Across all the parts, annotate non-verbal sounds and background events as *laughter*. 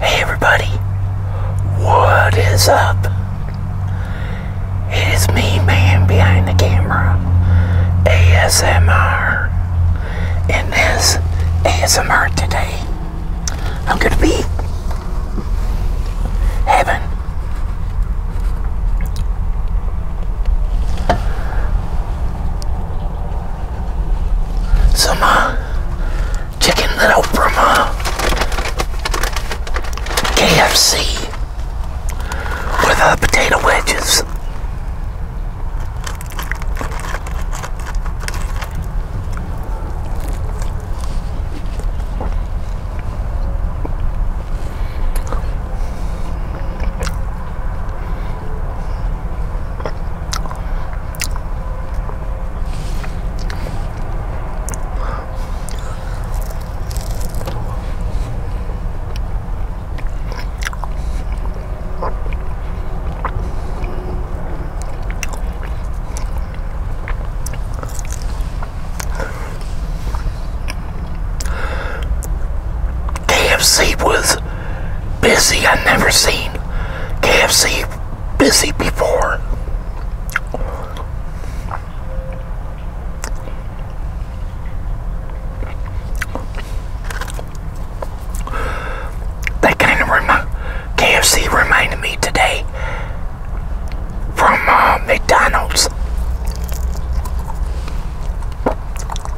Hey everybody, what is up? It is me, man behind the camera, ASMR, and this ASMR today. I'm gonna be having some chicken that from uh, KFC with uh, potato wedges. KFC was busy. I've never seen KFC busy before. That kind of remi KFC reminded me today from uh, McDonald's.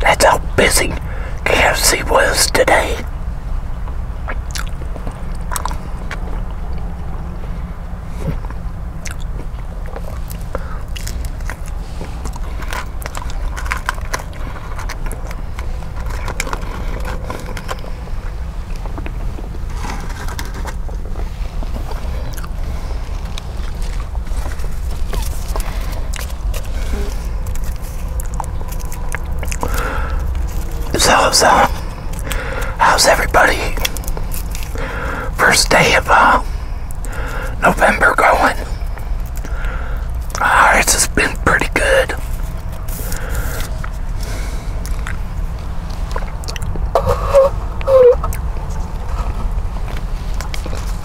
That's how busy KFC was today. So, so, how's everybody? First day of uh, November going? it has been pretty good.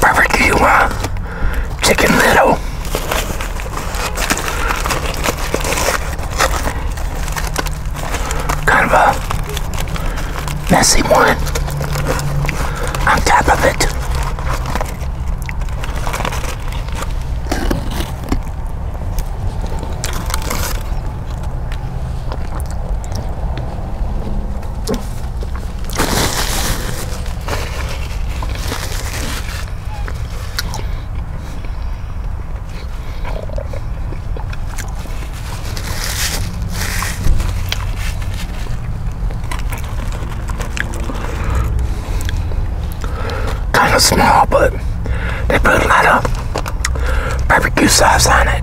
barbecue uh, chicken little. Kind of a messy one on top of it. Kind of small, but they put a lot of barbecue sauce on it.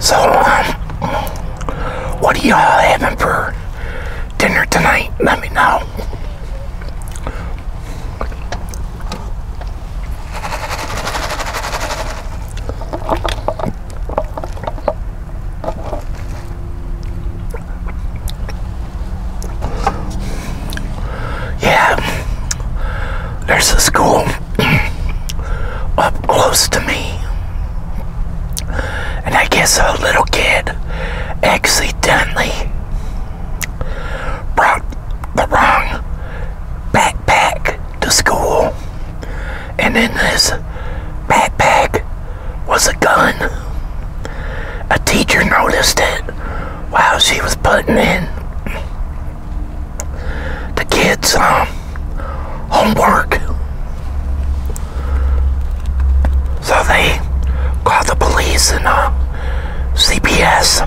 So, um, what are y'all having for dinner tonight? Let me know. Yeah, there's a school *clears throat* up close to me. And I guess a little kid accidentally brought the wrong backpack to school and in this backpack was a gun. A teacher noticed it while she was putting in the kids' um, homework. So they called the police and uh, CPS.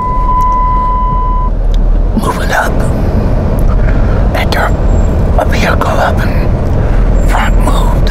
moving up. That there, vehicle up in front moved.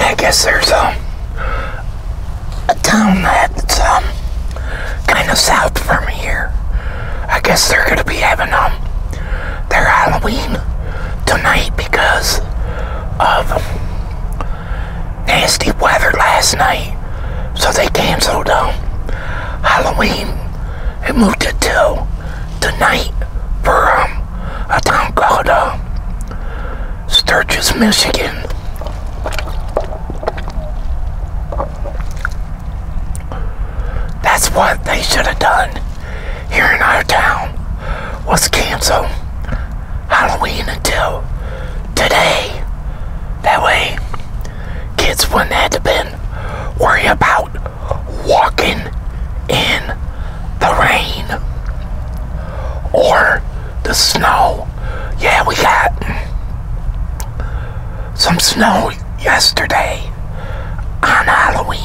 I guess there's um, a town that's um, kind of south from here. I guess they're going to be having um their Halloween tonight because of nasty weather last night. So they canceled um Halloween and moved it to tonight for um a town called uh, Sturgis, Michigan. That's what they should have done here in our town was cancel Halloween until today. That way kids wouldn't have to been worry about walking in the rain or the snow. Yeah, we got some snow yesterday on Halloween.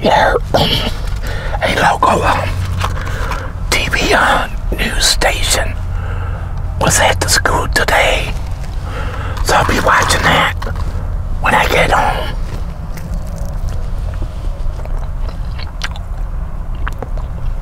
Yeah, a local um, TV uh, news station was at the school today, so I'll be watching that when I get home.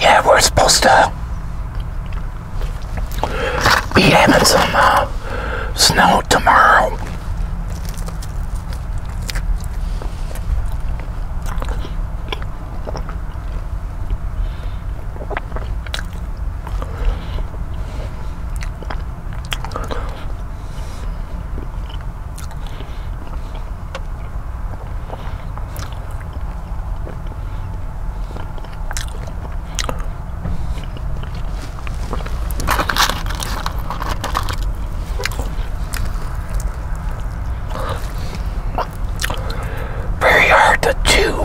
Yeah, we're supposed to be having some uh, snow tomorrow. Very hard to chew.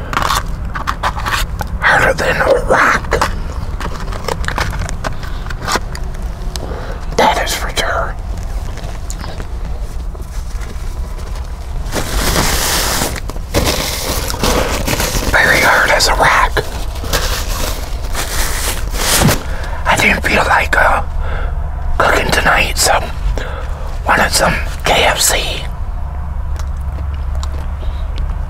harder than a rock. That is for sure. Very hard as a rock. I didn't feel like uh, cooking tonight, so wanted some KFC.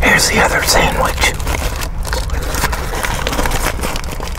Here's the other sandwich.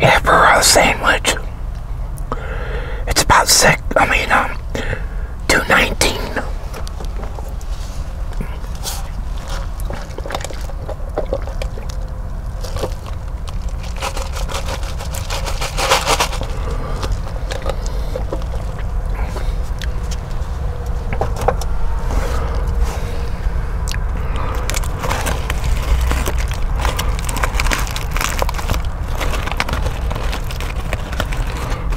Yeah, for a sandwich. It's about sick. I mean, um, 219.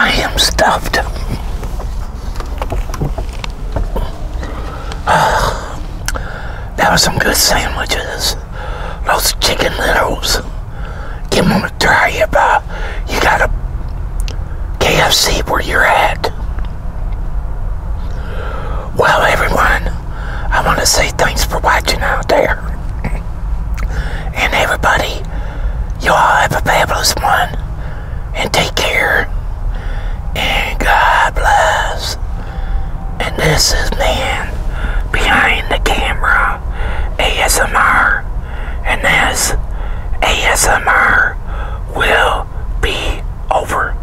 I am stuffed. *sighs* that was some good sandwiches. Those chicken littles. Give them a try if uh, you got a KFC where you're at. Well, everyone, I want to say thanks for watching out there. and everybody, you all have a fabulous one. And take care. And God bless. And this is Man Behind the Camera ASMR. And this ASMR will be over.